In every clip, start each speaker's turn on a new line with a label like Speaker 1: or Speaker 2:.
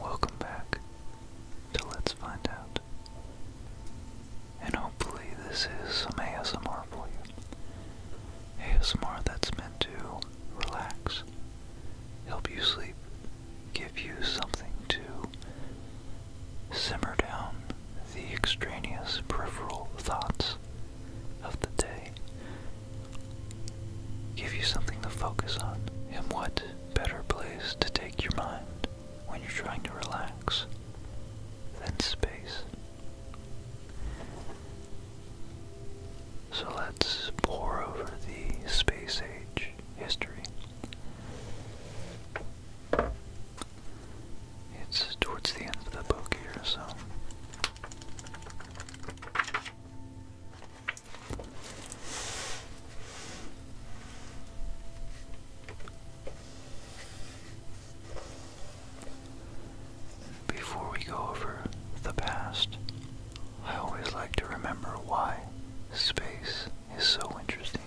Speaker 1: Welcome back to Let's Find Out. And hopefully, this is some ASMR for you. ASMR that's meant to relax, help you sleep, give you something to simmer down the extraneous peripheral thoughts of the day. Give you something to focus on, and what better place to take your mind when you're trying to relax than space? So let's pore over the space age history. It's towards the end of the book here, so. Before we go over the past, I always like to remember why space is so interesting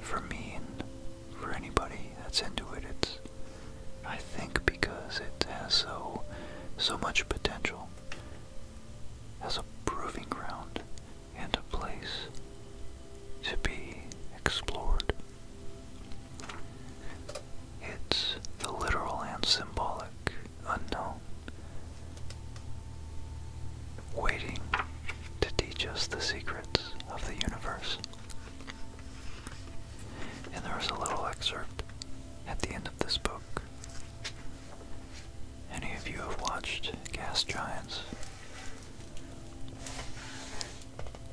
Speaker 1: for me and for anybody that's into it. I think because it has so so much potential as a proving ground and a place to be explored. It's the literal and symbolic unknown waiting to teach us the secrets of the universe. And there is a little excerpt at the end of this book. Any of you who have watched Gas Giants?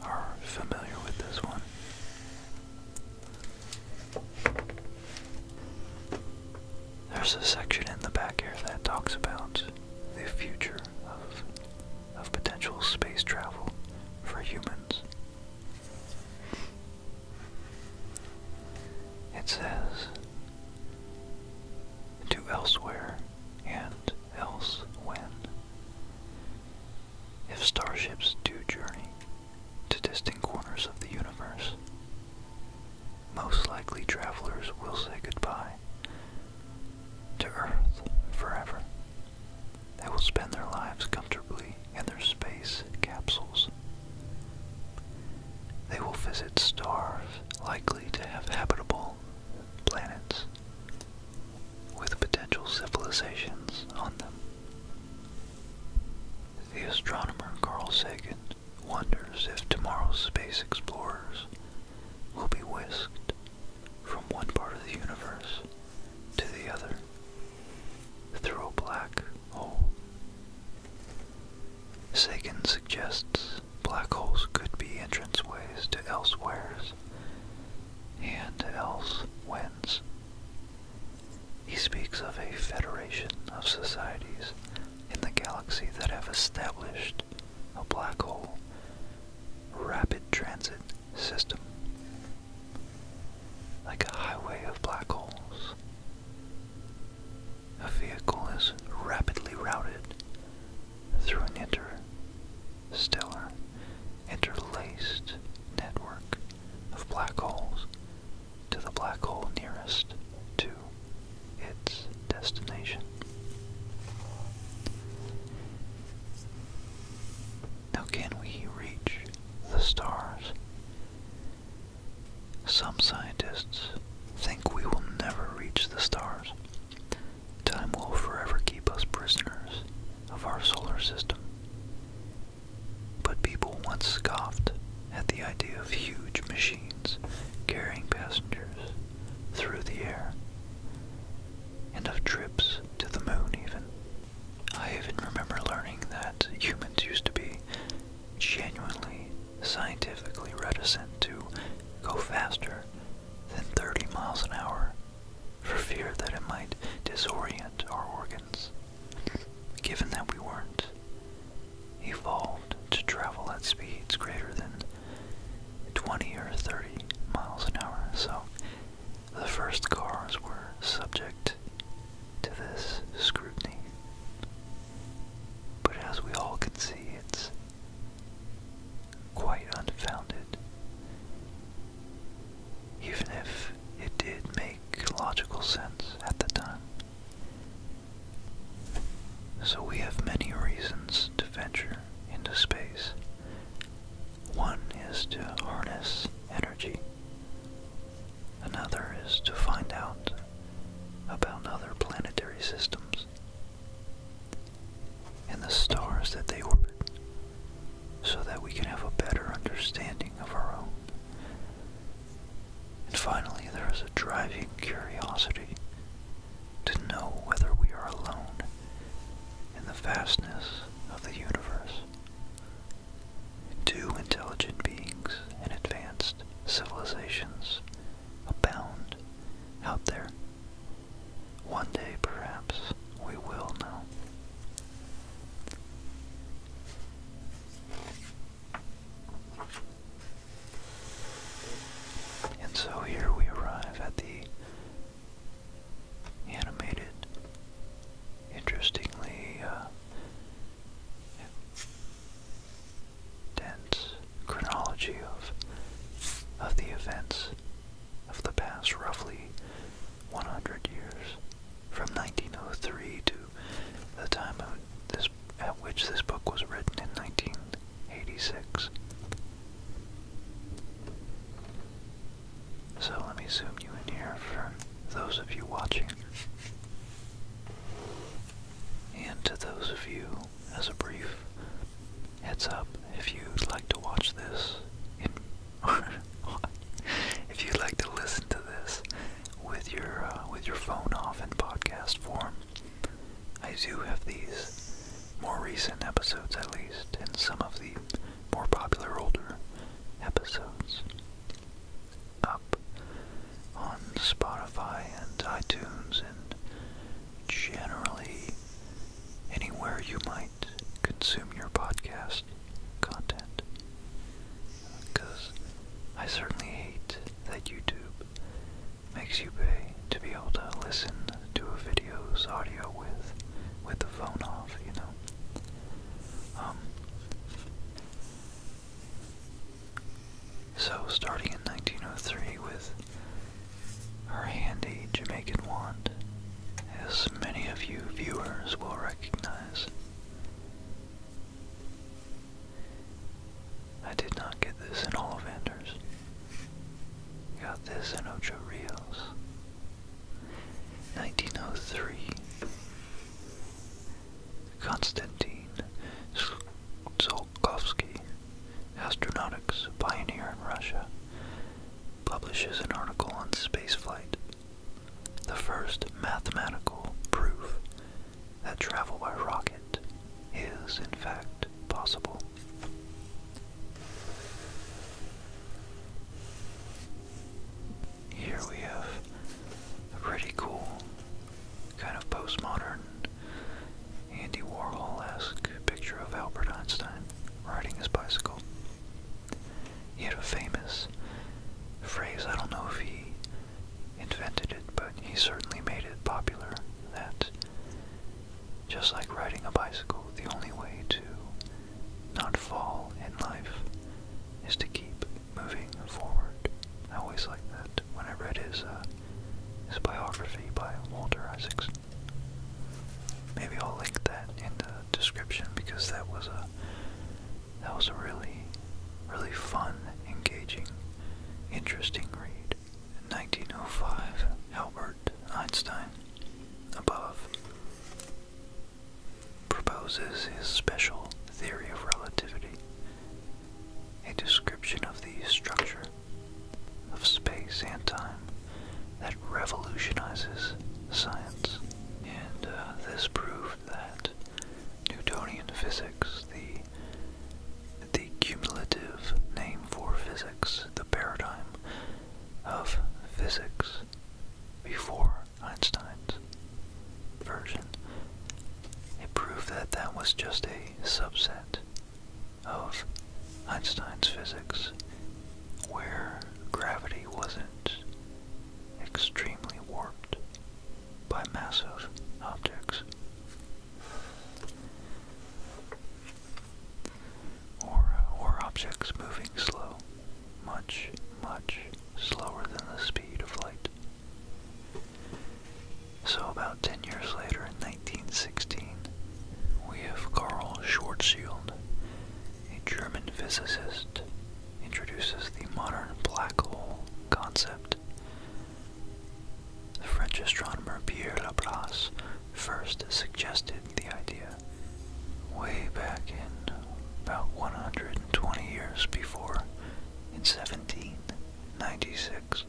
Speaker 1: Are familiar with this one? There's a section in the back here that talks about the future of of potential space travel for humans. It says, to elsewhere and else when. If starships do journey to distant corners of the universe, most likely travelers will say goodbye to Earth forever. They will spend their lives comfortably in their space capsules. They will visit stars likely to have habitable planets with potential civilizations on them. The astronomer Carl Sagan wonders if tomorrow's space explorers will be whisked from one part of the universe to the other through a black hole. Sagan suggests black holes could be entranceways to elsewheres and else He speaks of a federation of societies in the galaxy that have established a black hole rapid transit system, like a highway of black holes. A vehicle is rapidly routed through an interstellar, interlaced network of black holes to the black hole nearest to its destination. Now, can we reach the stars? Some scientists think we will never reach the stars. Time will forever keep us prisoners of our solar system. But people once scoffed at the idea of huge machines carrying passengers through the air and of trips to the moon, even. I even remember learning that humans used to be genuinely scientifically reticent to go faster than 30 miles an hour for fear that it might disorient our organs. Given that we weren't evolved to travel at speeds greater than 20 or 30 miles an hour, so the first cars were subject to this scrutiny. But as we all can see, it's quite unfounded. Even if it did make logical sense at the time. So we have many reasons to venture into space. One is to harness energy. Another is to find out about other planetary systems and the stars that they orbit so that we can have a better understanding of our own. And finally, there is a driving curiosity to know whether we are alone in the vastness of the universe. Two intelligent beings and advanced civilizations abound out there. One day, perhaps, we will know. And so here we arrive at the animated. Interestingly uh, dense chronology of of the events of the past roughly 100 years, from 1903 to the time at which this book was written in 1986. So let me zoom you in here for those of you watching. And to those of you, as a brief heads up, if you'd like to watch this in if you'd like to listen to this with your uh, with your phone off in podcast form, I do have these more recent episodes at least, and some of the more popular older episodes up on Spotify and iTunes and generally anywhere you might consume your podcast content. Because I certainly hate that YouTube makes you pay to be able to listen to a video's audio with with the phone off, you know. Um, so starting in 1903 with her handy Jamaican wand, as many of you viewers will recognize. I did not get this in Ollivanders. Got this in Ocho Rios. 1903 Konstantin Tsiolkovsky, astronautics pioneer in Russia, publishes an article on space flight. the first mathematical proof that travel by rocket is, in fact, possible. Here we have a pretty cool, kind of postmodern, Andy Warhol-esque picture of Albert Einstein riding his bicycle. He had a famous phrase, I don't know if he invented it, but he certainly made it popular, that just like riding a bicycle, the only way to not fall in life, is to keep moving forward. I always like that when I read his, uh, his biography by Walter Isaacson. Maybe I'll link that in the description because that was a that was a really, really fun, engaging, interesting read. 1905, Albert Einstein, above proposes his special theory of relativity, a description of the structure of space and time that revolutionizes science. And uh, this proved that Newtonian physics, the the cumulative name for physics, the paradigm of physics before Einstein's version. It proved that that was just a subset of Einstein's physics where gravity wasn't extremely warped by massive objects or, uh, or objects moving slow, much, much slower than the speed of light. So about 10 years later, in 1916, we have Carl Schwarzschild, a German physicist, introduces the modern black hole concept. The French astronomer Pierre Laplace first suggested the idea way back in about 120 years before, in 1796.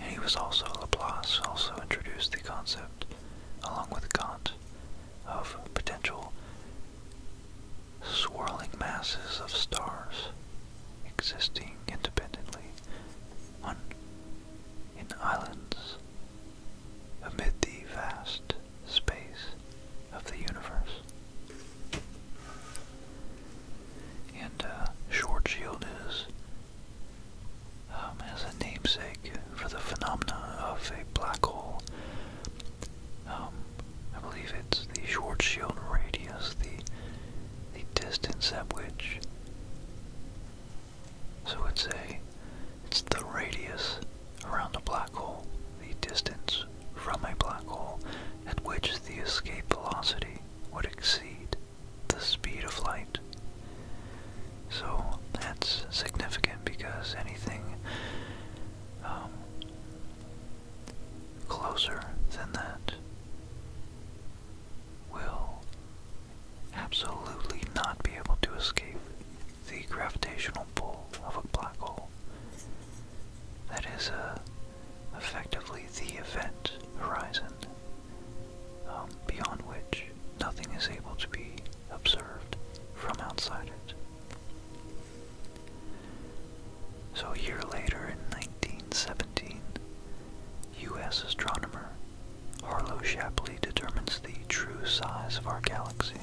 Speaker 1: And he was also, Laplace also introduced the concept, along with Kant, of potential swirling masses of stars existing independently on in islands amid the vast space of the universe. And uh, Short Shield is, um, as a namesake for the phenomena of a black hole. Um, I believe it's the Short Shield radius, the the distance at which so it's say it's the radius around a black hole, the distance from a black hole at which the escape velocity would exceed the speed of light. So that's significant because anything um, closer than that will absolutely not be able to escape the gravitational pull of a black hole. That is uh, effectively the event horizon um, beyond which nothing is able to be observed from outside it. So a year later in 1917, U.S. astronomer Harlow Shapley determines the true size of our galaxy.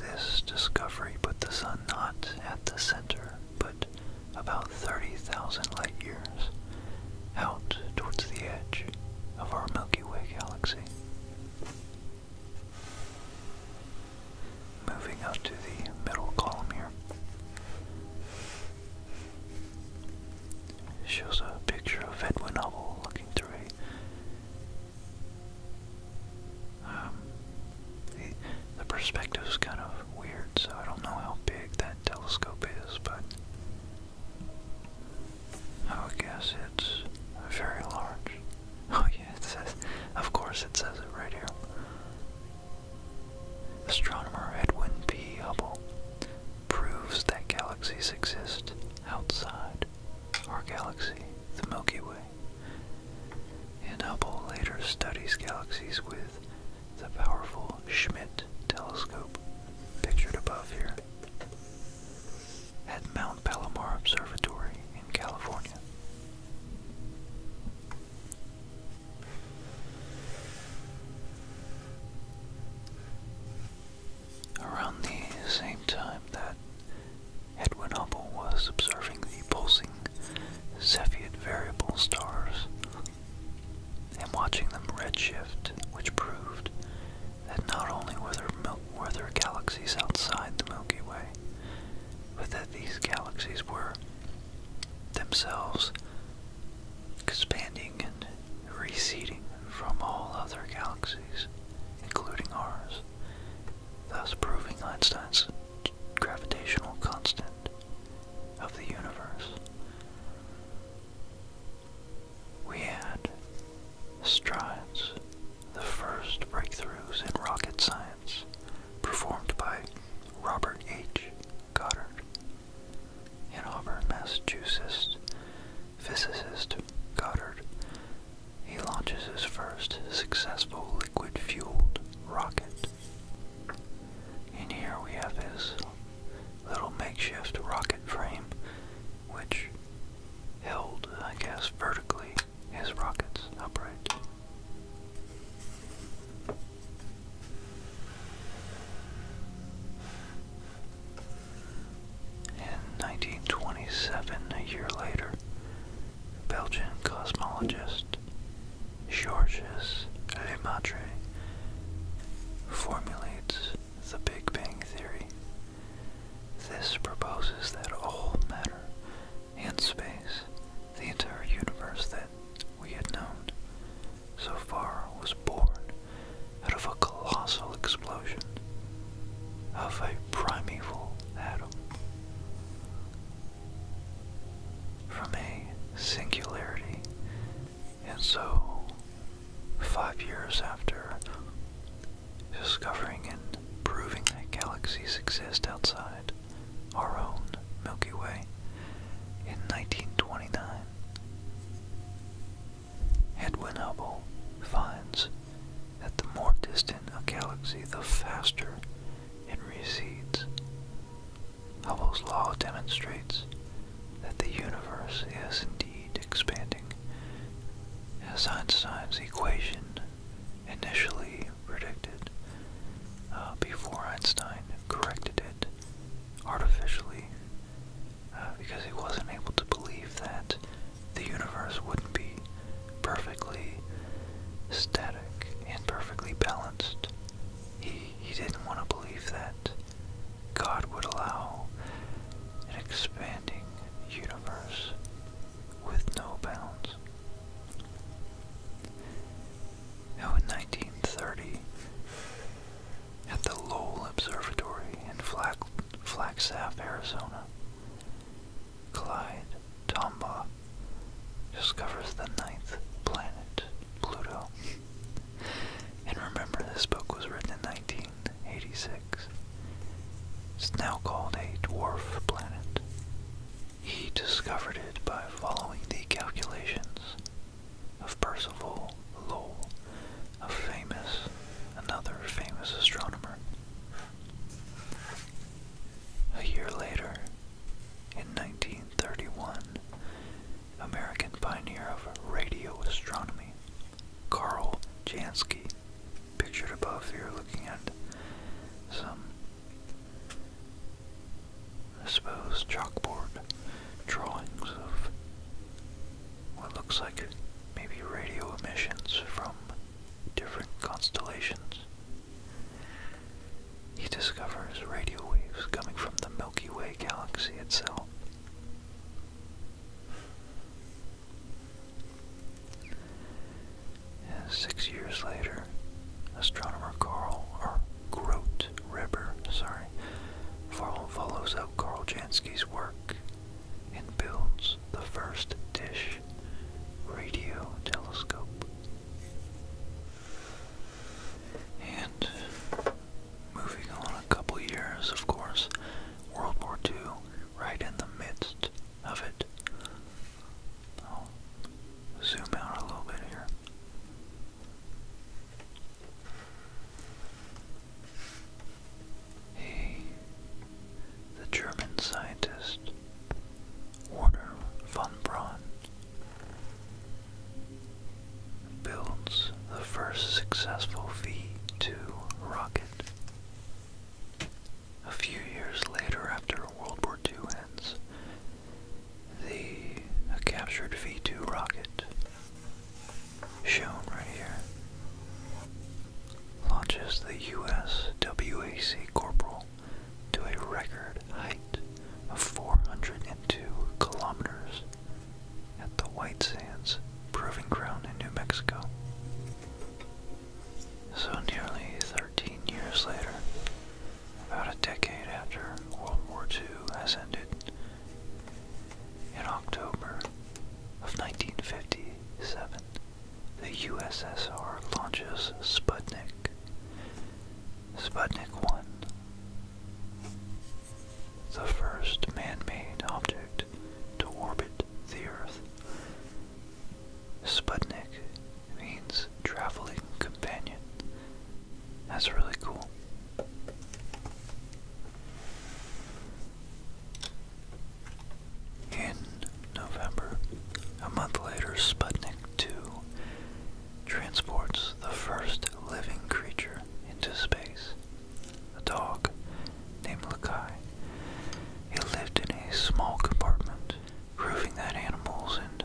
Speaker 1: This discovery put the sun not at the center, but about 30,000 light years out towards the edge of our Milky Way galaxy. Moving up the middle column here, shows a picture of Edwin Hubble looking through a um, it, the perspective is kind of weird, so I don't know how big that telescope is, but I guess it's very large. Oh yeah, it says, of course it says it right here. Astronomer Edwin P. Hubble proves that galaxies exist outside our galaxy, the Milky Way. And Hubble later studies galaxies with the powerful Schmidt telescope, pictured above here, at Mount Palomar Observatory in California around the same time that Edwin Hubble was observing the pulsing Cepheid variable stars and watching them redshift, which proved that not only were there, galaxies outside the Milky Way, but that these galaxies were themselves expanding and receding from all other galaxies, including ours thus proving Einstein's gravitational constant of the universe. We had strides, the first breakthroughs in rocket science performed by Robert H. Goddard in Auburn, Massachusetts physicist Goddard, he launches his first successful liquid-fueled rocket. In here we have his little makeshift rocket frame, which held, I guess, vertically his rockets upright. In 1927, a year later, Belgian cosmologist Georges Lemaitre formulates the Big Bang Theory. This proposes that all matter and space, the entire universe that we had known so far, was born out of a colossal explosion of a primeval Adam. From a singularity, and so five years after discovering and proving that galaxies exist outside our own Milky Way in 1929, Edwin Hubble finds that the more distant a galaxy, the faster it recedes. Hubble's law demonstrates that the universe is indeed expanding, as Einstein's equation initially predicted uh, before Einstein corrected it artificially uh, because he wasn't able to believe that the universe wouldn't be perfectly static and perfectly balanced. He, he didn't want to believe that God would allow an expanding universe with no bounds. Now in 1930, at the Lowell Observatory in Flagstaff, Arizona, Clyde Tombaugh discovers the ninth planet, Pluto. and remember, this book was written in 1986. It's now called a dwarf planet. He discovered it by following the calculations of Percival Lowell, a famous, another famous astronomer. A year later, in 1931, American pioneer of radio astronomy, Carl Jansky, pictured above here looking at some, I suppose, chalkboard drawings of what looks like maybe radio emissions from different constellations. He discovers radio waves coming from the Milky Way galaxy itself. six years later, astronomer Carl, or Grote Reber, sorry, follows up Carl Jansky's work and builds the first dish radio telescope. And moving on a couple years, of course, World War II, right in the midst of it. I'll zoom out a little bit here. A the German scientist Werner von Braun builds the first successful V-2 rocket. A few years later, after World War II ends, the captured V-2 rocket, shown right here, launches the U.S. WAC Corporal to a record height of 402 kilometers at the White Sands Proving Ground in New Mexico. So nearly 13 years later, about a decade after World War II has ended, in October of 1957, the USSR launches Sputnik. Sputnik 1. The first man-made object to orbit the Earth. Sputnik means traveling companion. That's really cool. In November, a month later, Sputnik 2 transports the first living creature into space, a dog named Lakai. He lived in a small compartment, proving that animals and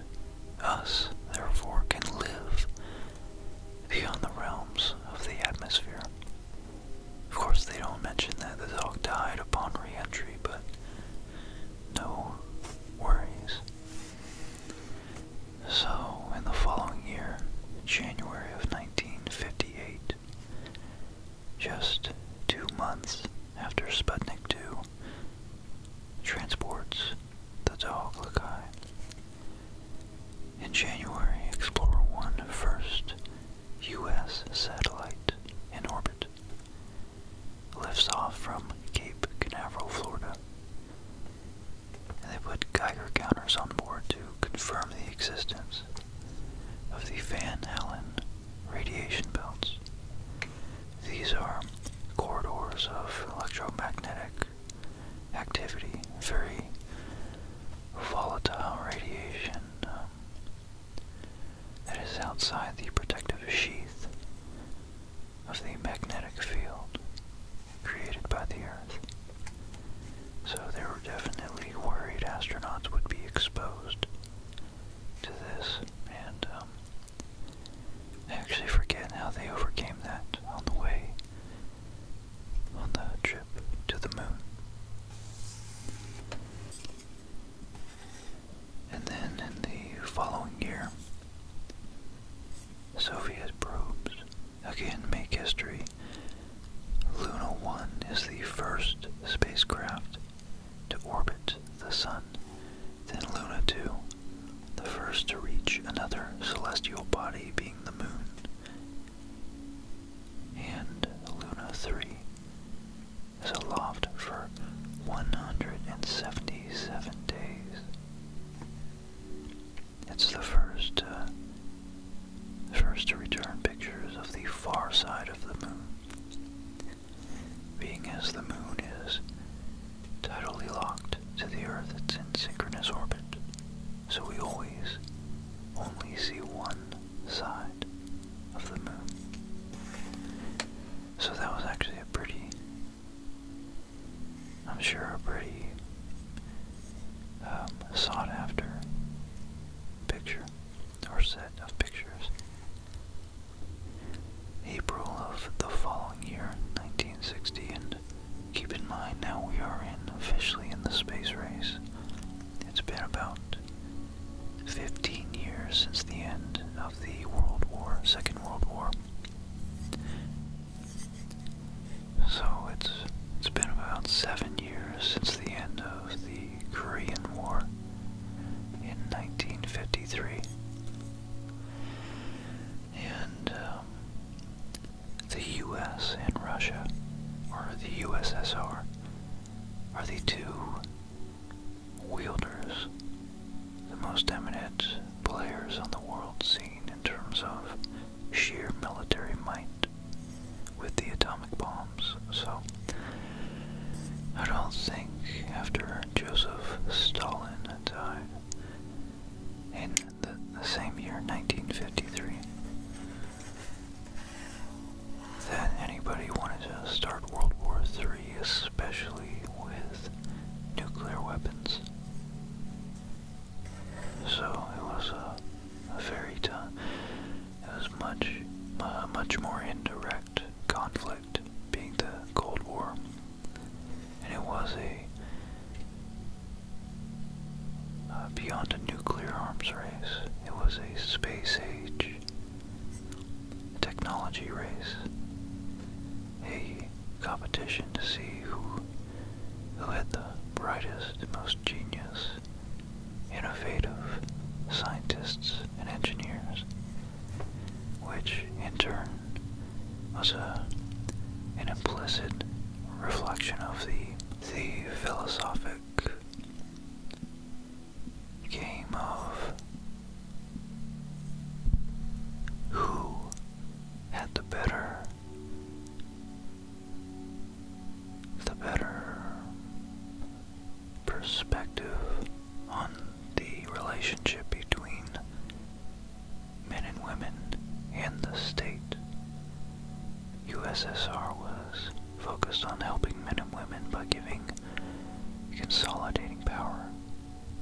Speaker 1: us, therefore, can live beyond the realms of the atmosphere. Of course, they don't mention that the dog died upon re entry, but no worries. So, in the following year, January of 1958, just two months after Sputnik 2 transports the Dog In January, Explorer One first. U.S. satellite in orbit lifts off from Cape Canaveral, Florida. And they put Geiger counters on board to confirm the existence of the Van Allen radiation belts. These are corridors of electromagnetic activity, very volatile radiation. Um, that is outside the protective sheath of the magnetic field created by the Earth. So they were definitely worried astronauts would be exposed to this, and um, I actually forget how they overcame that on the way on the trip to the moon and then in the following year, Soviet probes again make history. Luna 1 is the first spacecraft to orbit the Sun, then Luna 2, the first to reach another celestial body being the Moon, and Luna 3 a loft for 177 days. It's the first, uh, first to return pictures of the far side of the moon. Being as the moon is tidally locked to the Earth, it's in synchronous orbit, so we always only see one side of the moon. So that was actually a pretty, I'm sure, a pretty um, sought after picture or set of pictures. April of the following year, 1960, and keep in mind now we are in officially in the space race. It's been about 15 years since the end of the World War, Second World War. So it's it's been about seven years since the end of the Korean War in 1953, and um, the U.S. and Russia, or the USSR, are the two wielders, the most eminent players on the world scene in terms of sheer military might with the atomic bombs. So, I don't think after Joseph Stalin died in the, the same year, 1953, that anybody wanted to start World War III, especially with nuclear weapons. So it was a, very tough, it was much, much more indirect conflict, being the Cold War, and it was a uh, beyond a nuclear arms race. It was a space age technology race, a competition to see who, who had the brightest, most genius, innovative scientists and engineers, which in turn was an implicit reflection of the, the philosophic game of who had the better the better perspective on the relationship between men and women in the state. USSR was focused on helping men and women by giving consolidating power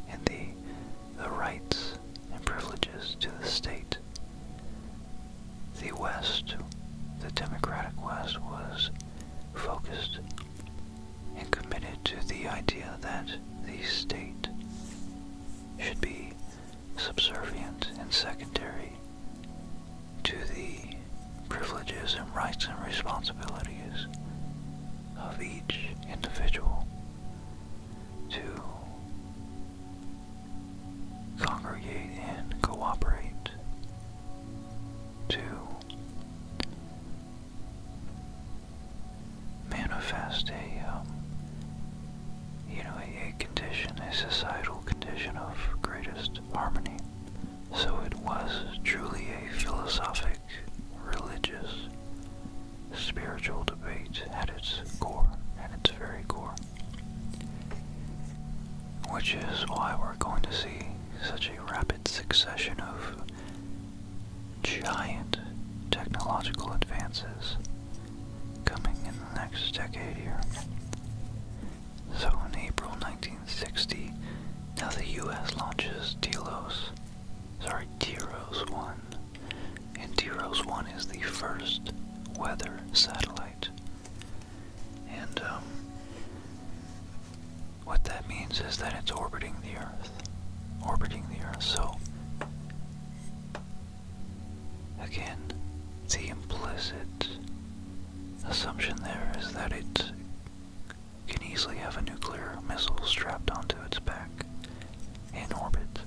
Speaker 1: and the, the rights and privileges to the state. The West, the Democratic West, was focused and committed to the idea that the state should be subservient and secondary to the privileges, and rights and responsibilities of each individual to congregate and cooperate, to manifest a, um, you know, a condition, a societal condition of greatest harmony. So it was truly a philosophic religious, spiritual debate at its core, at its very core. Which is why we're going to see such a rapid succession of giant technological advances coming in the next decade here. So in April 1960, now the US launches Delos, sorry, Deros 1, and Deros 1 is the first weather satellite. And um, what that means is that it's orbiting the Earth, orbiting the Earth. So again, the implicit assumption there is that it can easily have a nuclear missile strapped onto its back in orbit,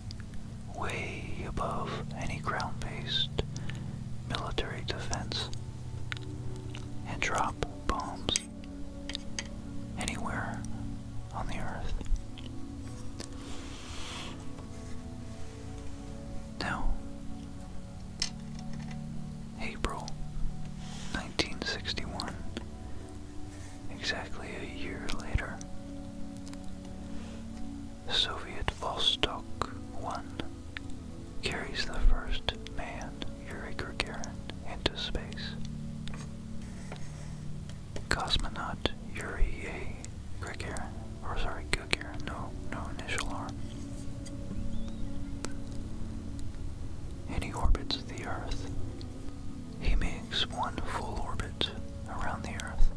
Speaker 1: way above any ground-based military defense, and drop bombs anywhere on the Earth. Now, April 1961, exactly a year later, Soviet Vostok 1 carries the first man, Yuri Gagarin into space. Cosmonaut Yuri A. Gagarin, or sorry, Gagarin, no, no initial R. And he orbits the Earth. He makes one full orbit around the Earth.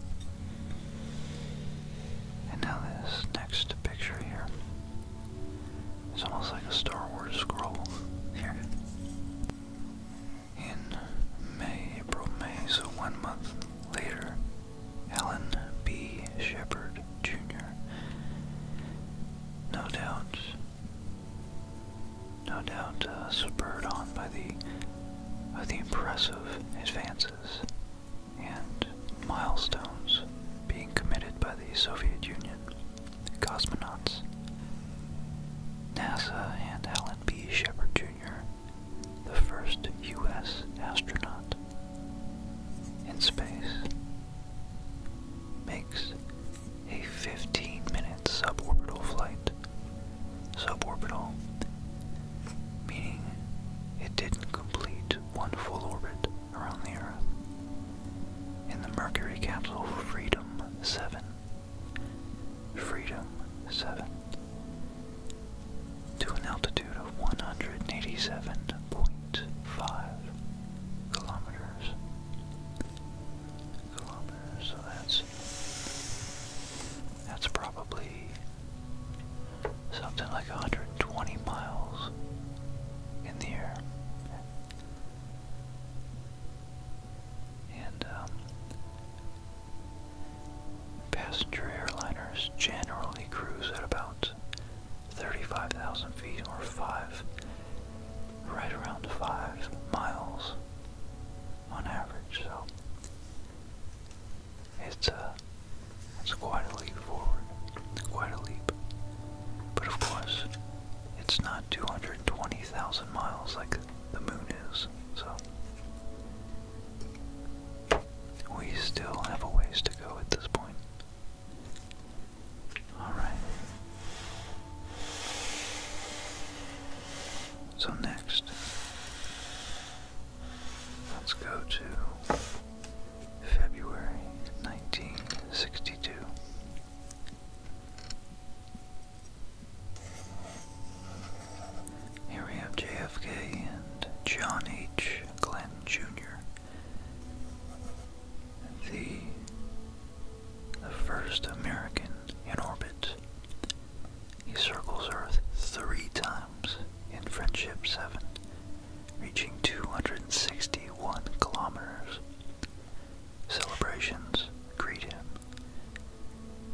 Speaker 1: And now this next picture here. It's almost like a Star Wars scroll here. In May, April, May, so one month later, Helen B. Shepard Jr., no doubts no doubt uh, spurred on by the, by the impressive advances and milestones being committed by the Soviet Union cosmonauts. NASA and Alan B. Shepard Jr., the first U.S. astronaut in space, makes a 15 minute suborbital flight. Suborbital, meaning it didn't complete one full orbit around the Earth. In the Mercury capsule Freedom 7, Freedom 7, to an altitude of 187.5 kilometers kilometers. So that's that's probably something like 120 miles in the air. And um, passenger airliners generally cruise at about 35,000 feet or 5 right around five miles on average. So it's a uh, it's quite a leap forward, quite a leap. But of course, it's not 220,000 miles like the moon is. So we still have a ways to go at this point. All right. So next, let's go to February 1962. Here we have JFK and John H. Glenn Jr the, first American in orbit. He circles Earth three times in Friendship 7, reaching 261 kilometers. Celebrations greet him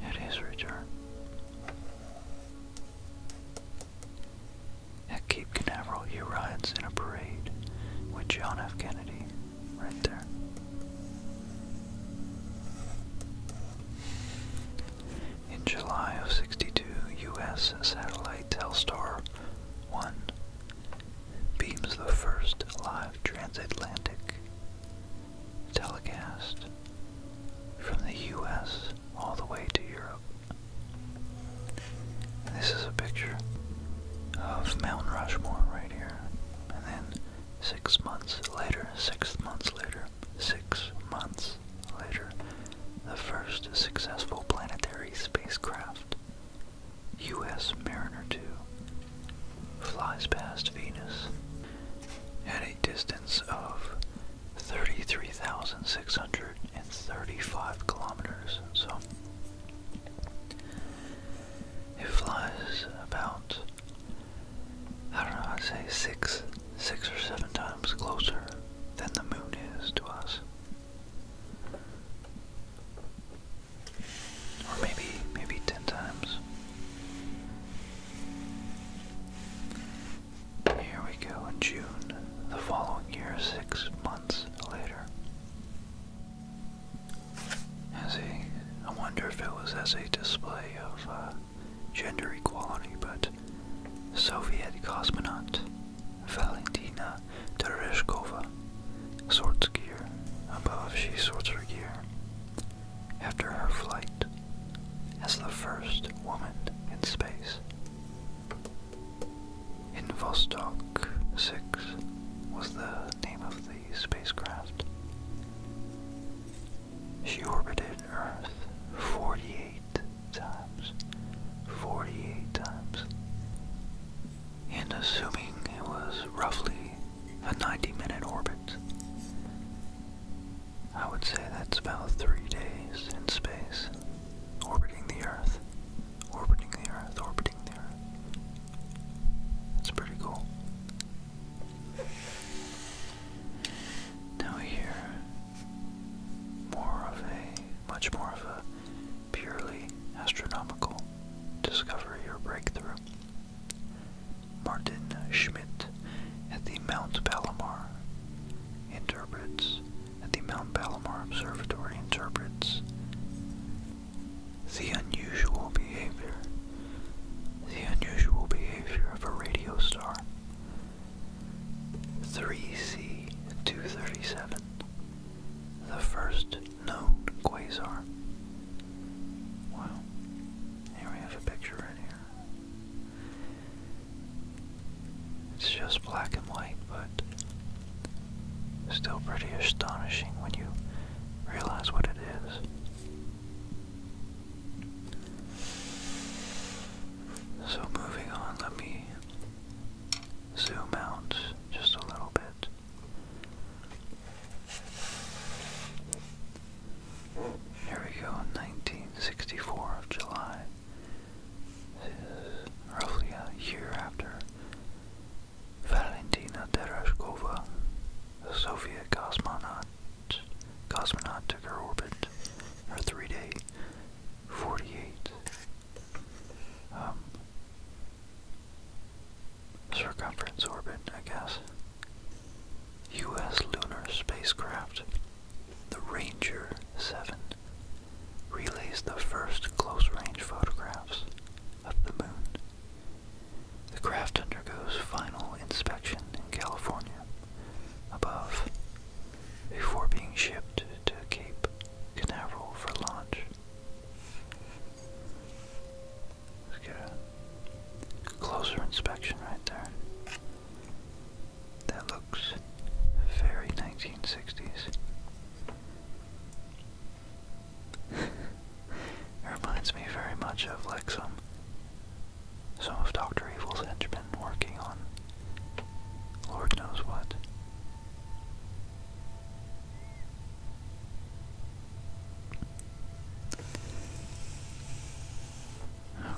Speaker 1: at his return. At Cape Canaveral, he rides in a parade with John F. Kennedy right there. In July of 62, U.S. satellite Telstar 1 beams the first live transatlantic telecast from the U.S. all the way to Europe. This is a picture of Mount Rushmore right here and then six months later, six months later, six months later, the first successful planetary spacecraft, U.S. Mariner 2, flies past Venus at a distance of 33,635 kilometers. So, it flies about, I don't know, I'd say six, six or seven times closer than the moon is to us. Or maybe, maybe ten times. Here we go in June, the following year, six months later as a, I wonder if it was as a display of uh, gender equality, but Soviet cosmonaut Valentina Tereshkova sorts gear above she sorts her gear after her flight as the first woman in space. In Vostok 6 was the name of spacecraft. She orbited Earth 48 times. 48 times. And assuming it was roughly a 90 minute orbit, I would say that's about three days in space, orbiting the Earth, orbiting the Earth, orbiting the Earth. That's pretty cool. Now here, more of a, much more of a purely astronomical discovery or breakthrough. Martin Schmidt at the Mount Palomar interprets, at the Mount Palomar Observatory interprets the unusual behavior. The unusual behavior of a radio star. 3C 237. The first known quasar. Wow. Here we have a picture right here. It's just black and white, but still pretty astonishing when you realize what it is. So, moving on, let me zoom out just a little bit. Here we go, 1964 of July. This is roughly a year after Valentina Tereshkova, Soviet cosmonaut, cosmonaut took her orbit, her three-day, 48 um, circumference orbit, I guess. U.S. lunar spacecraft, the Ranger 7, relays the first close-range photographs of the moon. The craft undergoes final inspection in California above before being shipped to Cape Canaveral for launch. Let's get a closer inspection right there. That looks very 1960s it reminds me very much of like some some of Doctor Evil's henchmen working on Lord knows what.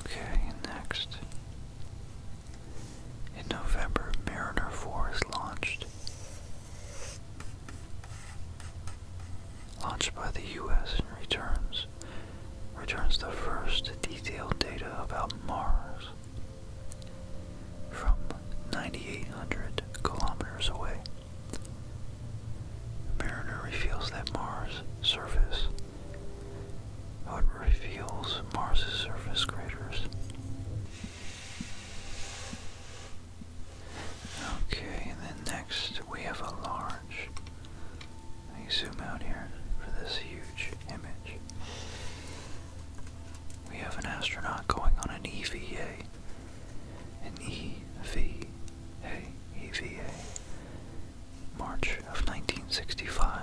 Speaker 1: Okay, next. In November, Mariner 4 is launched. Launched by the US and returns returns the first detailed data about Mars from 9800 kilometers away. Mariner reveals that Mars' surface it reveals Mars' surface craters. Okay, and then next we have a large. Let me zoom out here for this huge image. We have an astronaut going on an EVA. An EVA. March of 1965.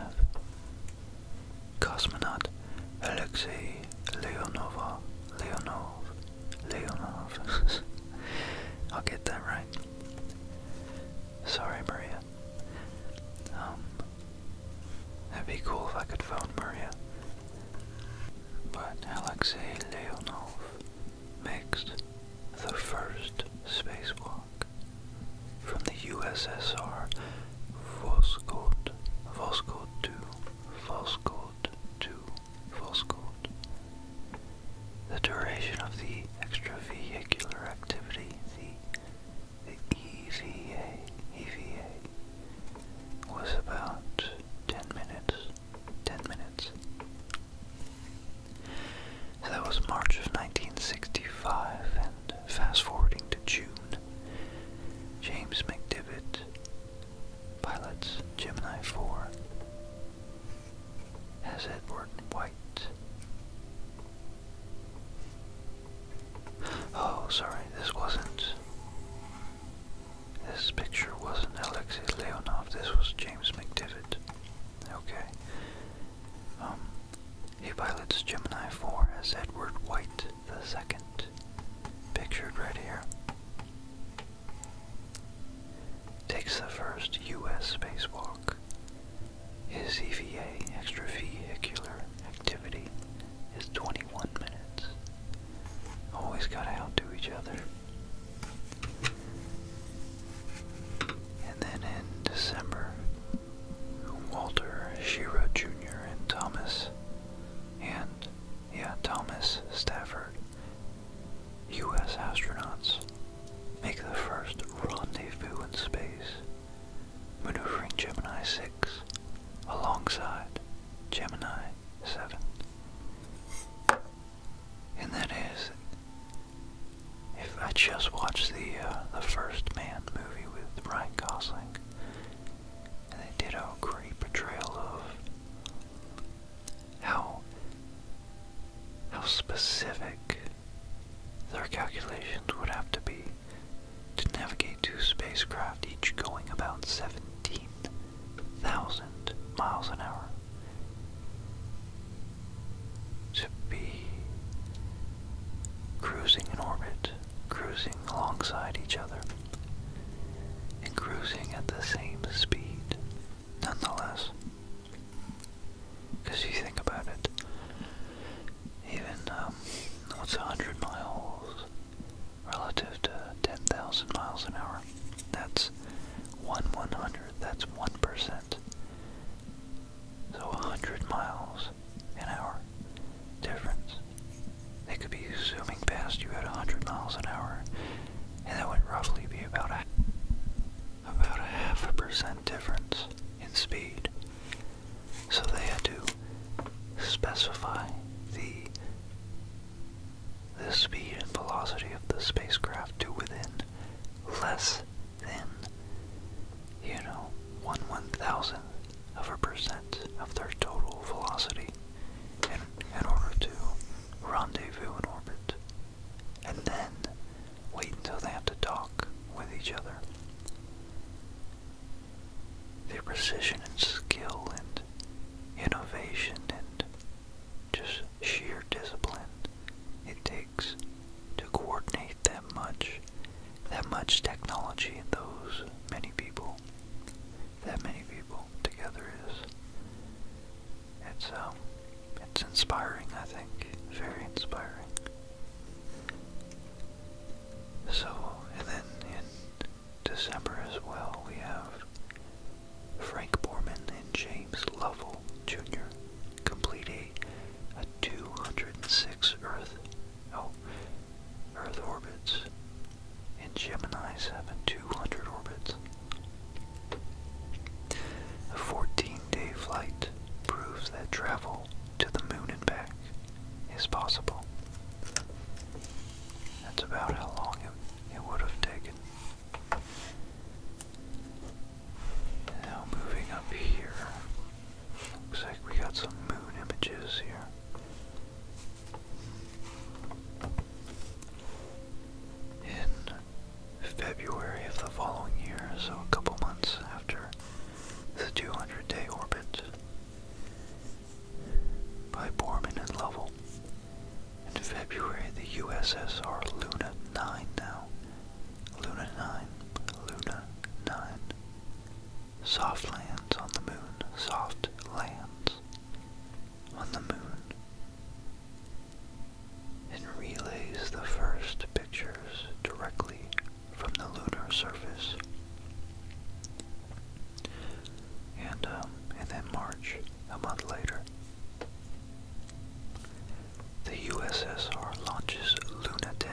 Speaker 1: Cosmonaut Alexei Leonova Leonov Leonov. I'll get that right. Sorry, Maria. Um, would be cool if I could phone Maria. But Alexei Leonov makes the first spacewalk from the USSR Voskhod, Voskhod to Voskhod to full scored. The duration of the extravehicular activity, the, the EVA, was about 10 minutes. 10 minutes. that was March of 1965, and fast forwarding to June, James McDivitt Pilots Gemini 4 as Edward White. Oh, sorry, this wasn't. This picture wasn't Alexei Leonov, this was James McDivitt. Okay. Um, he pilots Gemini 4 as Edward White II, pictured right here. Takes the first U.S. spacewalk. His EVA, extravehicular activity, is 21 minutes. Always gotta outdo each other. And then in December, Walter Shira Jr. and Thomas, and yeah, Thomas Stafford U.S. astronauts make the first rendezvous in space, maneuvering Gemini 6 alongside Gemini 7. And that is, if I just watched the uh, the first Man movie with Ryan Gosling, and they did a great portrayal of how how specific their calculations would have to be to navigate two spacecraft, each going about 17,000 miles an hour. To be cruising in orbit, cruising alongside each other, and cruising at the same speed nonetheless. Because you think about it, even um, what's 100 miles relative to 10,000 miles an hour? That's 1 100, that's 1%. So 100 miles an hour difference. They could be zooming past you at 100 miles an hour, and that would roughly be about a, about a half a percent difference in speed. So they had to specify the the speed and velocity of the spacecraft to within less than, you know, one one thousandth of a percent of their total velocity in, in order to rendezvous in orbit, and then wait until they have to talk with each other. Their precision and skill and innovation and just sheer discipline it takes to coordinate that much, that much technology and those many people, that many people together is it's um, it's inspiring. I think very inspiring. So, and then in December as well, we have Frank Borman and James Lovell Jr. complete a, a 206 Earth, oh, Earth orbits. In Gemini 7, 200 orbits. A 14-day flight proves that travel to the moon and back is possible. That's about how long it, would have taken. Now moving up here. Looks like we got some moon images here. In February of the following year, so a couple months after the 200 day orbit by Borman and Lovell. In February, the USSR Luna 9 now. Luna 9, Luna 9. Soft lands on the moon, soft lands on the moon and relays the first pictures directly from the lunar surface. And, um, and then March, a month later, the USSR launches Luna 10,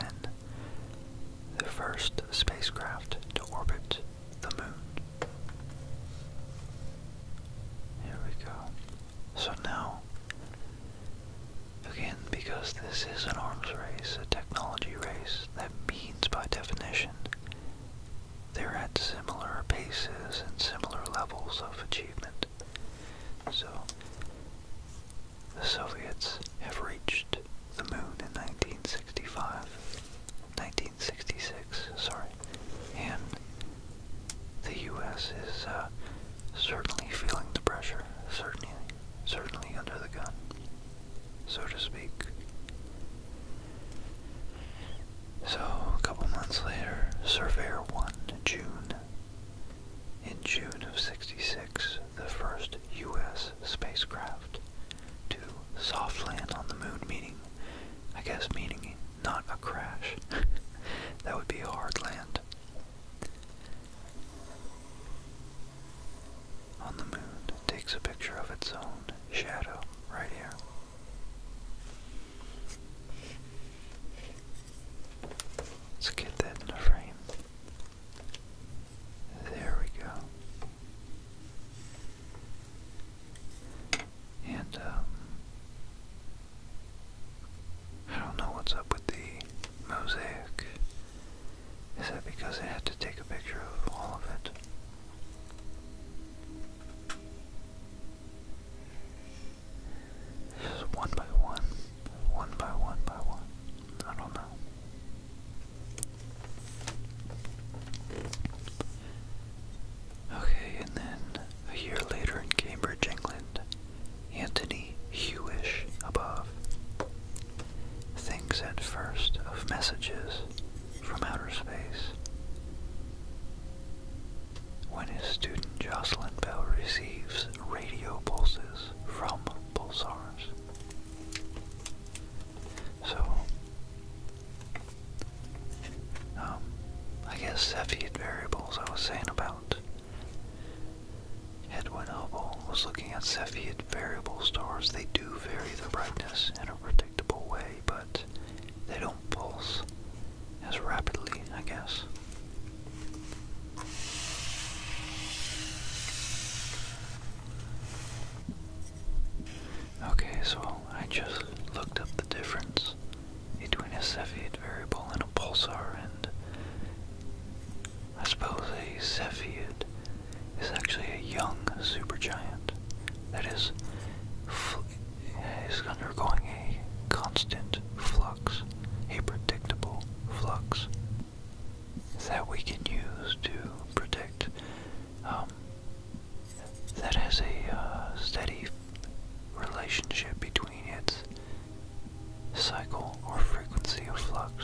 Speaker 1: the first spacecraft to orbit the moon. Here we go. So now, again, because this is an arms race, a technology race, that means by definition they're at similar paces and similar levels of achievement. So, the Soviets have reached the moon in 1965, 1966, sorry, and the U.S. is uh, certainly feeling the pressure, certainly, certainly under the gun, so to speak. So a couple months later, Surveyor 1, June. In June of 66, the first U.S. spacecraft to soft land on the moon, meaning, I guess, meaning not a crash. that would be a hard land. On the moon takes a picture of its own shadow right here. Let's get that in a frame. There we go. And um, I don't know what's up with the mosaic. Is that because I had to take a picture of all of it? Just one by one, one by one by one. I don't know. Okay, and then a year later in Cambridge, England, Anthony Hewish above thinks at first of messages from outer space. When his student Jocelyn Bell receives radio pulses from pulsars. So, um, I guess Cepheid variables I was saying about. Edwin Hubble was looking at Cepheid variable stars. They do vary their brightness in a predictable way, but they don't pulse as rapidly, I guess. Okay, so I just looked up the difference between a Cepheid variable and a pulsar, and I suppose a Cepheid is actually a young supergiant that is, is undergoing a constant flux, a predictable flux that we can use to predict um, that has a uh, steady relationship between its cycle or frequency of flux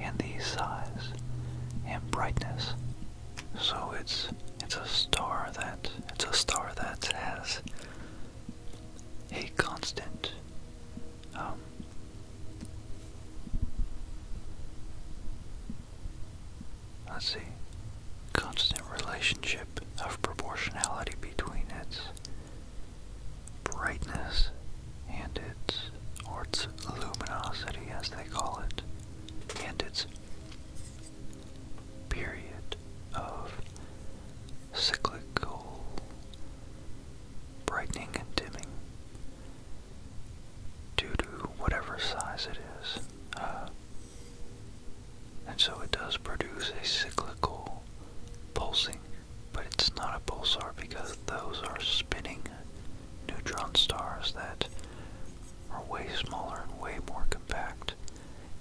Speaker 1: and the size and brightness. So it's it's a star that it's a star that has a constant um, let's see constant relationship of proportionality between its brightness and its, or its luminosity as they call it, and its period of cyclical brightening and dimming due to whatever size it is. Uh, and so it does produce a cyclical pulsing, but it's not a pulsar because those are spinning neutron stars that are way smaller and way more compact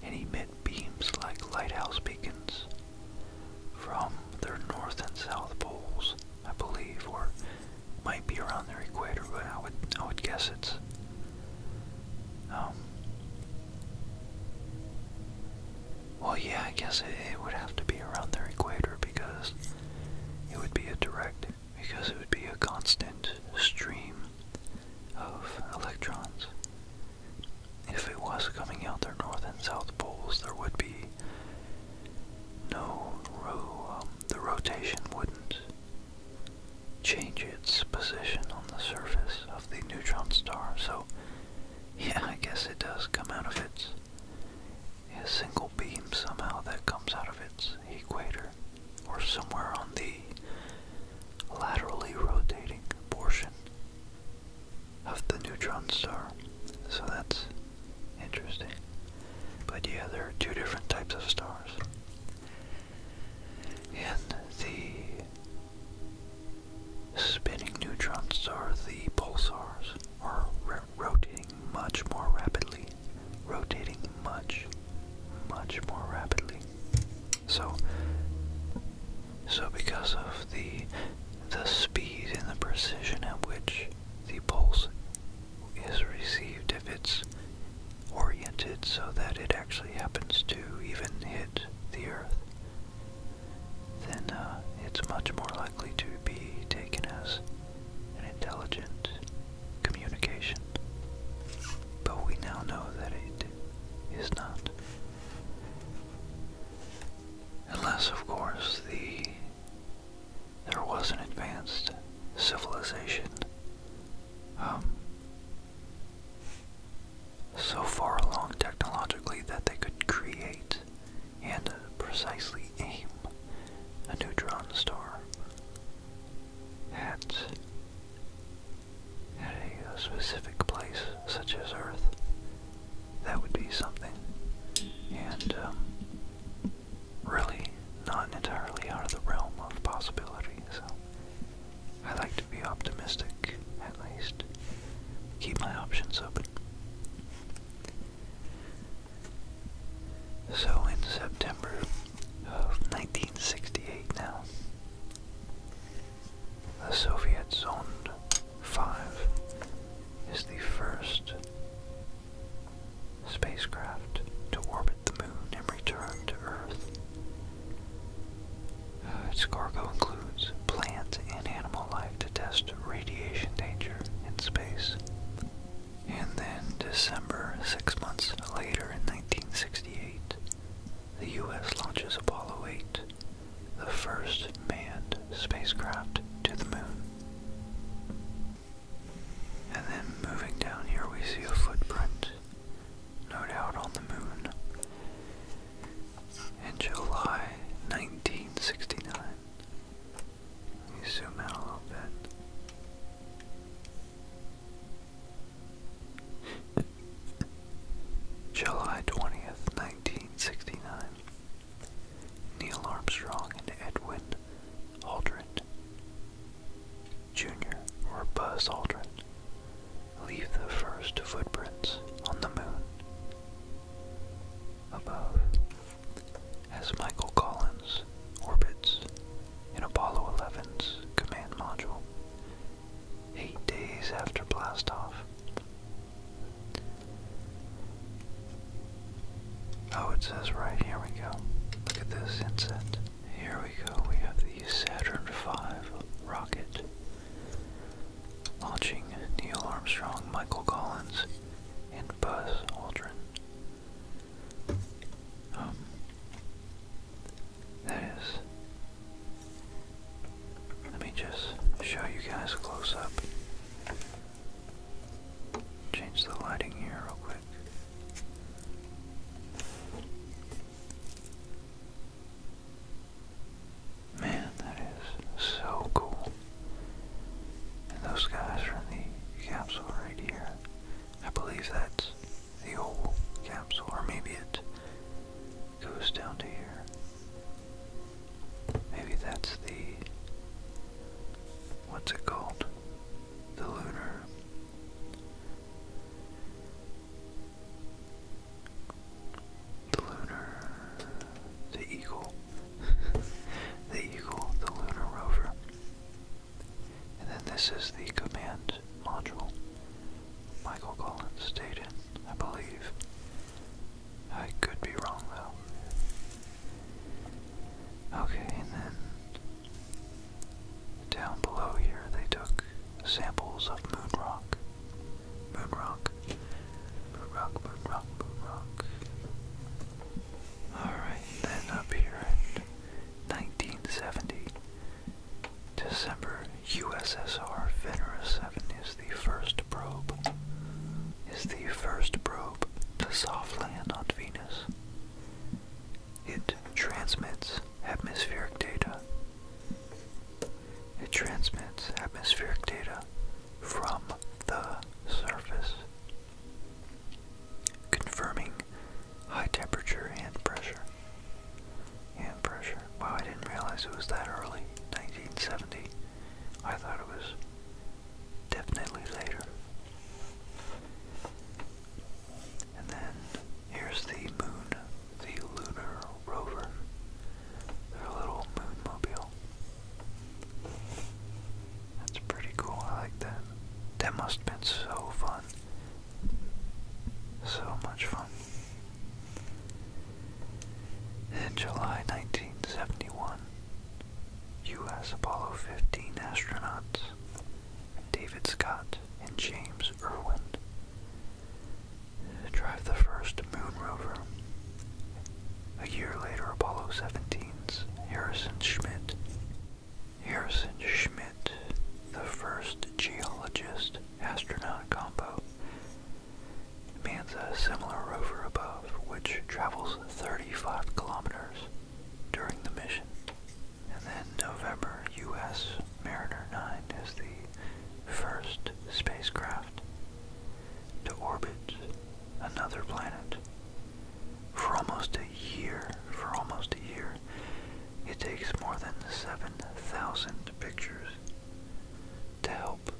Speaker 1: and emit beams like lighthouse beacons from their north and south poles, I believe, or might be around their equator, but I would I would guess it's um. Well, yeah, I guess it, would have to be around their equator because it would be a direct, because it would be a constant stream of electrons. If it was coming out their north and south poles, there would be no um, the rotation wouldn't change its position on the surface of the neutron star. So, yeah, I guess it does come out of its a single beam somehow that comes out of its equator or somewhere on the laterally rotating portion of the neutron star. So that's interesting. But yeah, there are two different types of stars. And the Spinning neutrons are the pulsars, are rotating much more rapidly. Rotating much, much more rapidly. So, so because of the the speed and the precision at which the pulse is received, if it's oriented so that it actually happens to even hit the Earth, then uh, it's much more likely to be taken as an intelligent communication. But we now know that it is not. Unless, of course, the there was an advanced civilization um, so far along technologically that they could create and precisely aim a neutron star at, at a uh, specific place such as Earth. That would be something, and um, really not entirely out of the realm of possibility. I like to be optimistic, at least. Keep my options open. So, in September of 1968, now, the Soviet Zond 5 is the first spacecraft to orbit the moon and return to Earth uh, includes plant and animal life to test radiation danger in space. And then, December, six months later in 1968, the U.S. launches Apollo 8, the first manned spacecraft to the moon. And then, moving down here, we see a footprint, no doubt on the moon in July 1969. Let me zoom out a little bit. July 20th, 1969. Neil Armstrong and Edwin Aldrin Jr., or Buzz Aldrin, leave the first footprints on the moon. Above, as Michael Collins orbits in Apollo 11's command module, eight days after blastoff. Oh, it says right here we go. Look at this inset. Here we go. We have the Saturn V rocket launching Neil Armstrong, Michael Collins, and Buzz Aldrin. Um, that is. Let me just show you guys close up. Change the lighting here real quick. Man, that is so cool. And those guys are in the capsule right here. I believe that's the old capsule, or maybe it goes down to here. Maybe that's the. What's it called? The lunar the lunar, the eagle, the eagle, the lunar rover. And then this is the command module. Michael Collins stated, I believe. I could be wrong though. Okay, and then down below here they took samples of moon rock Moonrock. Moonrock, Moonrock, Moonrock. Alright, then up here in 1970, December, USSR Venera 7 is the first probe. Is the first probe to soft land on Venus. It transmits atmospheric data it transmits atmospheric data from the surface, confirming high temperature and pressure. And pressure. Wow, I didn't realize it was that early, 1970. I thought it was definitely later. And then here's the moon the lunar rover, their little moonmobile. That's pretty cool. I like that. That must have been so fun. So much fun. In July 1971, U.S. Apollo 15 astronauts David Scott and James Irwin drive the first moon rover. A year later, Apollo 17's Harrison Schmitt. Harrison Schmitt, the first geologist astronaut combo, mans a similar rover above, which travels 35 kilometers during the mission. And then November, U.S. Mariner 9 is the first spacecraft to orbit another planet. For almost a year, for almost a year, it takes more than 7,000 pictures to help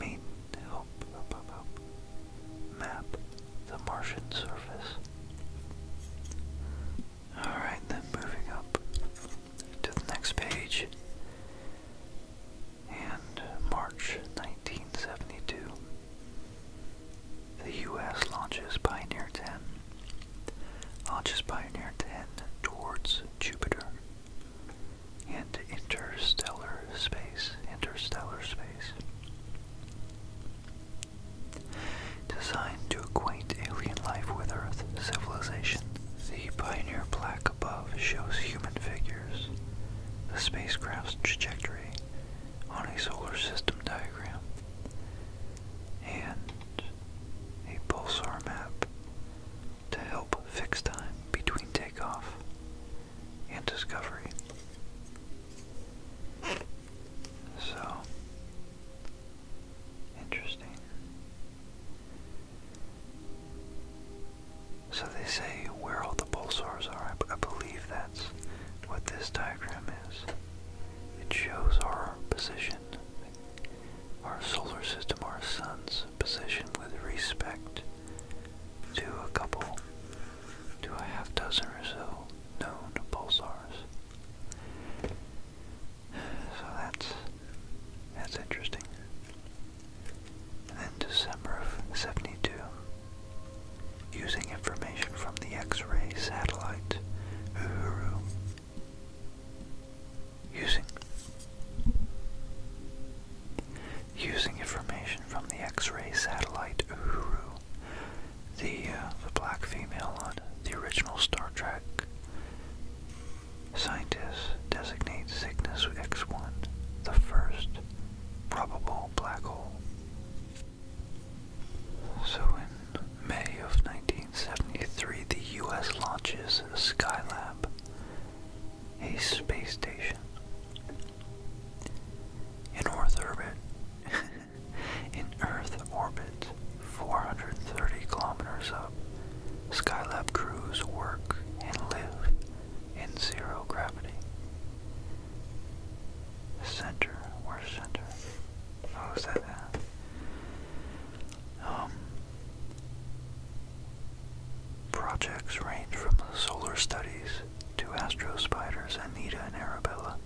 Speaker 1: main help map the Martian surface. Alright, then moving up to the next page. And March 1972, the U.S. launches Pioneer 10. Launches Pioneer 10 towards Jupiter and interstellar space. Interstellar space. Designed to acquaint alien life with Earth civilization, the Pioneer plaque above shows human figures, the spacecraft's trajectory on a solar system diagram, and a pulsar map to help fix time between takeoff and discovery. So, interesting. So they say where all the pulsars are. I believe that's what this diagram is. It shows our position, our solar system, our sun's position with respect to a couple, to a half dozen or so known pulsars. So that's that's interesting. In December of 72, using information from the X-ray satellite Uhuru, using using information from the X-ray satellite Uhuru, the uh, the black female on the original Star Trek Scientists designate Cygnus X1 the first probable black hole. So in May of 1973, the U.S. launches Skylab, a space station, in Earth orbit. in Earth orbit, 430 kilometers up Skylab crews work and live in zero gravity. Center, where's center? Oh, is that um, projects range from solar studies to astro spiders Anita and Arabella,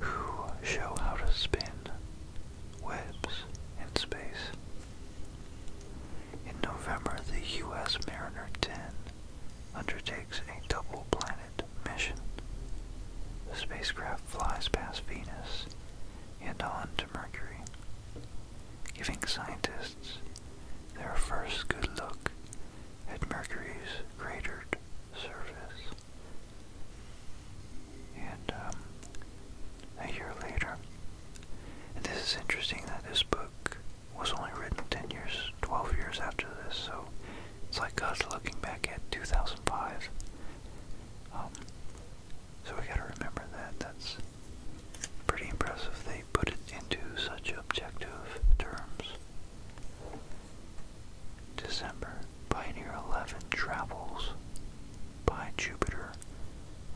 Speaker 1: who show how to spin webs in space. In November, the U.S. Mariner 10 undertakes a double planet mission. The spacecraft flies past Venus and on to Mercury, giving scientists their first good look at Mercury's cratered surface. And um, a year later. And this is interesting that this book was only written 10 years, 12 years after this, so it's like us looking back at 2005. Um, so we gotta remember that. That's pretty impressive. They put it into such objective terms. December, Pioneer 11 travels by Jupiter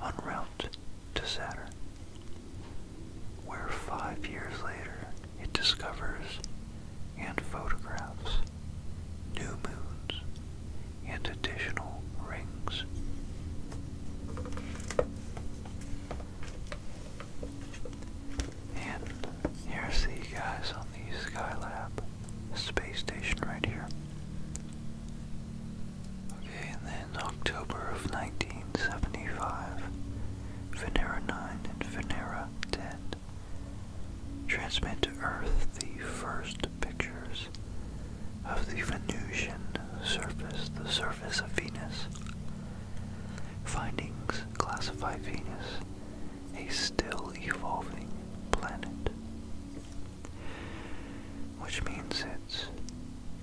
Speaker 1: en route to Saturn, where five years later it discovers and photographs new moons and additional rings. And here's the guys on the Skylab space station right here. Okay, and then October of 1975, Venera 9 and Venera 10 transmit to Earth the first pictures of the Venusian surface, the surface of Venus. Findings classify Venus a still evolving planet. Which means it's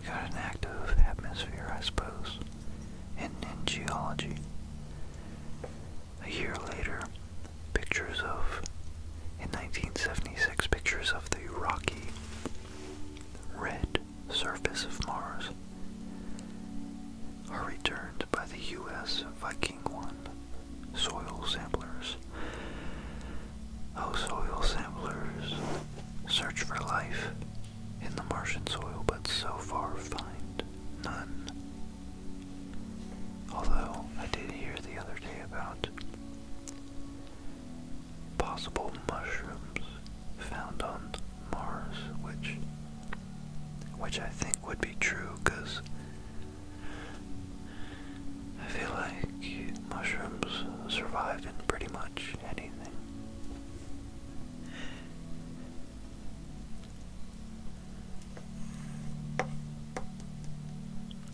Speaker 1: got an active atmosphere, I suppose, hidden in geology. A year later, pictures of, in 1976, pictures of the rocky red surface of Mars are returned by the U.S. Viking 1 soil samplers how soil samplers search for life in the Martian soil but so far find none. Although I did hear the other day about possible mushrooms found on Mars, which which I think would be true because I feel like mushrooms survive in pretty much anything.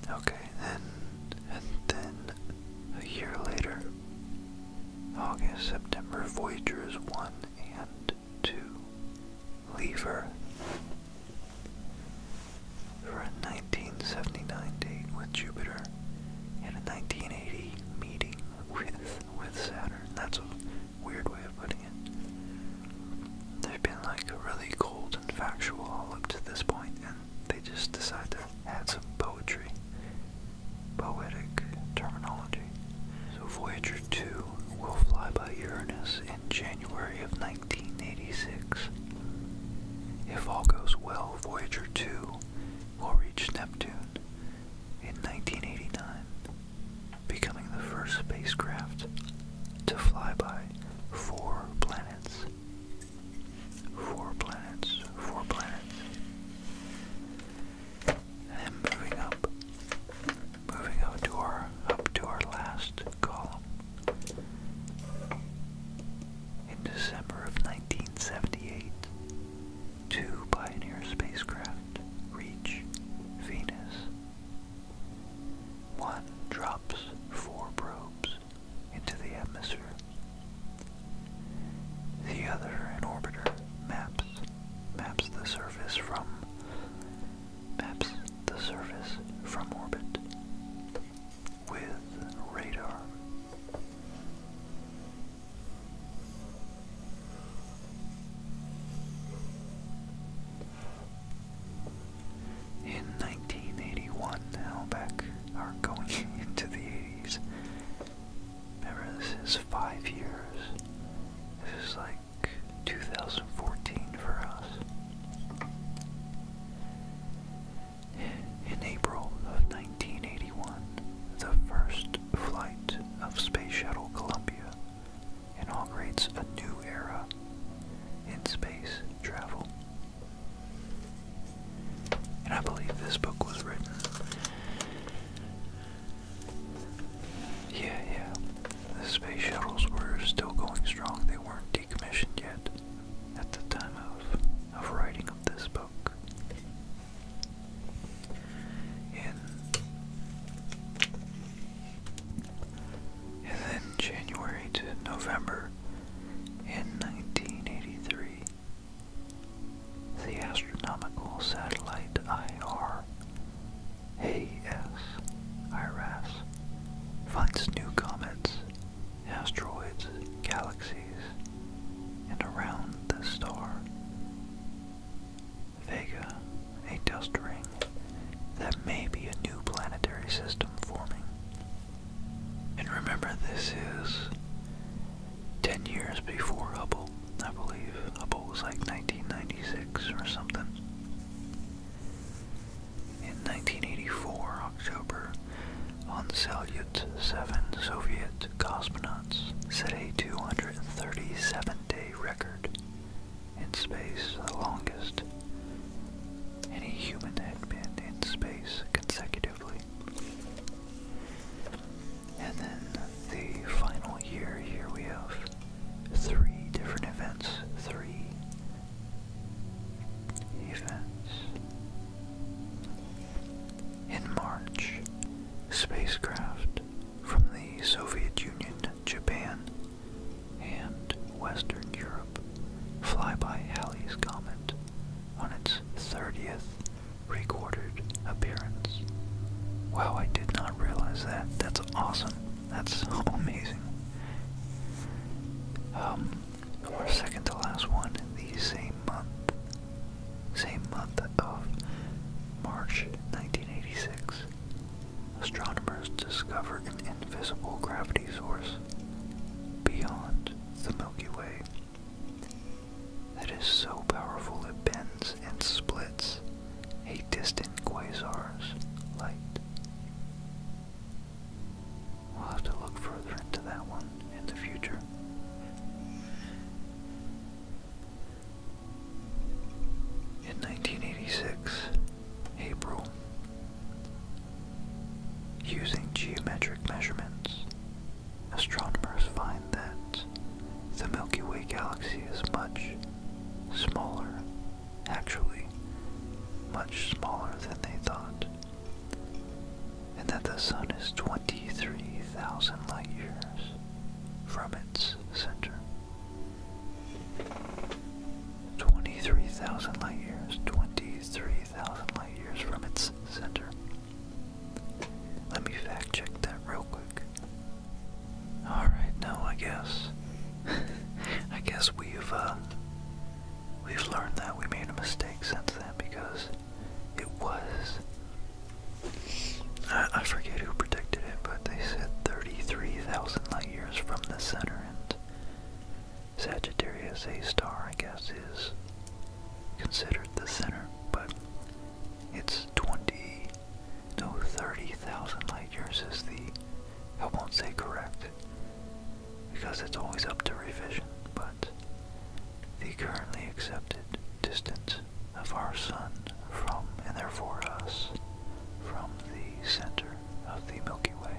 Speaker 1: Okay, then, and then a year later, August, September, Voyagers 1 and 2 leave Earth for a 1979 date with Jupiter and a 1980 meeting with with Saturn. That's a weird way of putting it. There's been like a really cold and factual all up to this point, and they just decide to add some poetry, poetic terminology. So Voyager 2 will fly by Uranus in January of 1986. If all goes well, Voyager 2 will reach Neptune in 1989, becoming the first spacecraft to fly by four planets. Four planets, four planets. And moving up, moving up to our up to our last column. In December of 1978, two Pioneer spacecraft reach Venus. One drops four probes into the atmosphere. The other, an orbiter, maps maps the surface from maps the surface from orbit with radar in 1981 now, back, or going into the 80s. this is five years. This is like 2014 for us. In April of 1981, the first flight of Space Shuttle Columbia inaugurates a new era in space travel. And I believe this book was written. Yeah, yeah. The space shuttles were still going strong. They weren't decommissioned yet at the time of, of writing of this book book. In, January to November in 1983, the astronomical satellite IRAS finds new comets asteroids, galaxies, and around the star. Vega, a dust ring that may be a new planetary system forming. And remember, this is 10 years before Hubble, I believe. Hubble was like 1996 or something. In 1984, October, on Salyut 7 Soviet cosmonauts set a 237-day record in space, the longest any human had been in space consecutively. And then the final year, here we have three different events, three events. In March, spacecraft from the Soviet Union, Japan, and Western Europe fly by Halley's Comet on its 30th recorded appearance. Wow, I did not realize that. That's awesome. That's amazing. Um, and were second to last one in the same month, same month of March 1986. Astronomers discover an invisible gravity source beyond the Milky Way that is so powerful it bends and splits a distant quasar's light. We'll have to look further into that one in the future. In 1986, April, using geometric measurements, astronomers find that the Milky Way galaxy is much smaller, actually, much smaller than they thought and that the sun is 23,000 light years from its center. 23,000 light years, 23,000 light years from its center. Let me fact check that real quick. Alright, no, I guess. I guess we've, uh, we've learned that we made a mistake since then because it was. I, forget who predicted it, but they said 33,000 light years from the center, and Sagittarius A star, I guess, is considered the center, but it's 20, no, 30,000 light years is the, I won't say correct, because it's always up to revision, but the currently accepted distance of our Sun from, and therefore us, from the center of the Milky Way.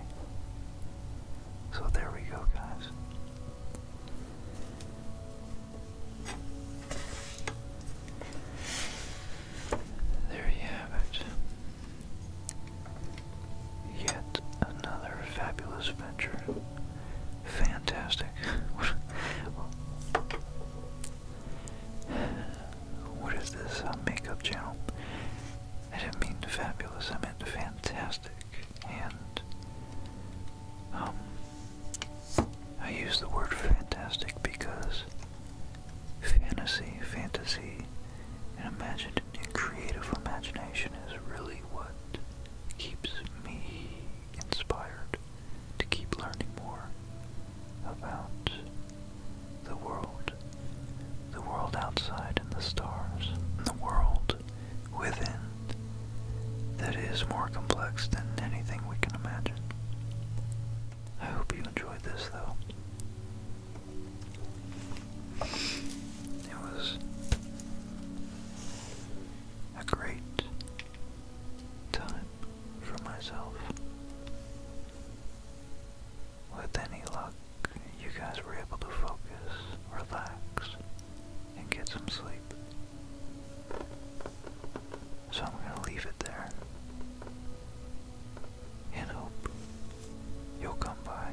Speaker 1: So there we go, guys. There you have it. Yet another fabulous venture Fantastic. what is this makeup channel? I didn't mean fabulous, I meant fantastic. And um I use the word fantastic because fantasy, fantasy, and imaginative, creative imagination is really what keeps me inspired to keep learning more about the world, the world outside and the stars, and the world within that is more complex than anything we can imagine. I hope you enjoyed this though. It was a great time for myself. With any luck, you guys were able to focus, relax, and get some sleep. So I'm going to leave it there. And hope you'll come by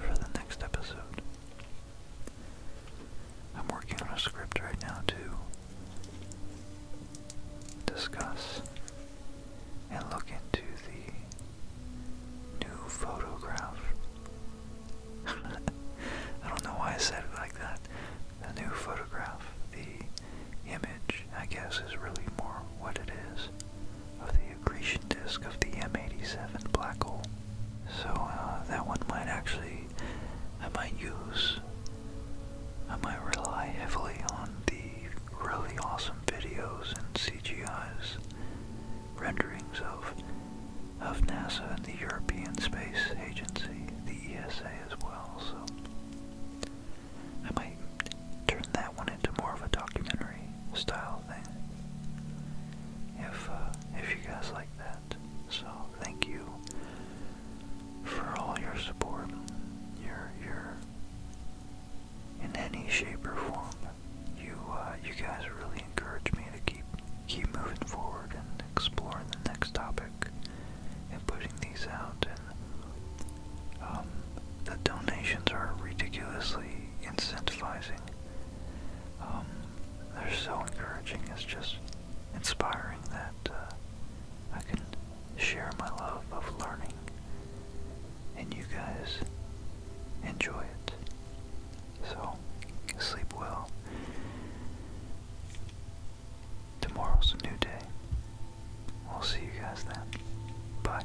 Speaker 1: for the next episode. I'm working on a script right now to discuss and look into the new photograph. I don't know why I said it like that. The new photograph, the image, I guess, is really more what it is of the accretion disk of the M87 black hole. So uh, that one might actually I might use. I might rely heavily on the really awesome videos and CGI's renderings of of NASA and the European Space Agency, the ESA as well, so I might turn that one into more of a documentary style thing. If uh, if you guys like that. So thank you for all your support. Your your in any shape or form. You uh, you guys really encourage me to keep keep moving forward and exploring the next topic and pushing these out and um, the donations are ridiculously incentivizing. Um, they're so encouraging. It's just inspiring that uh, I can share my love of learning and you guys enjoy it. So, sleep well. Tomorrow's a new day. We'll see you guys then. Bye.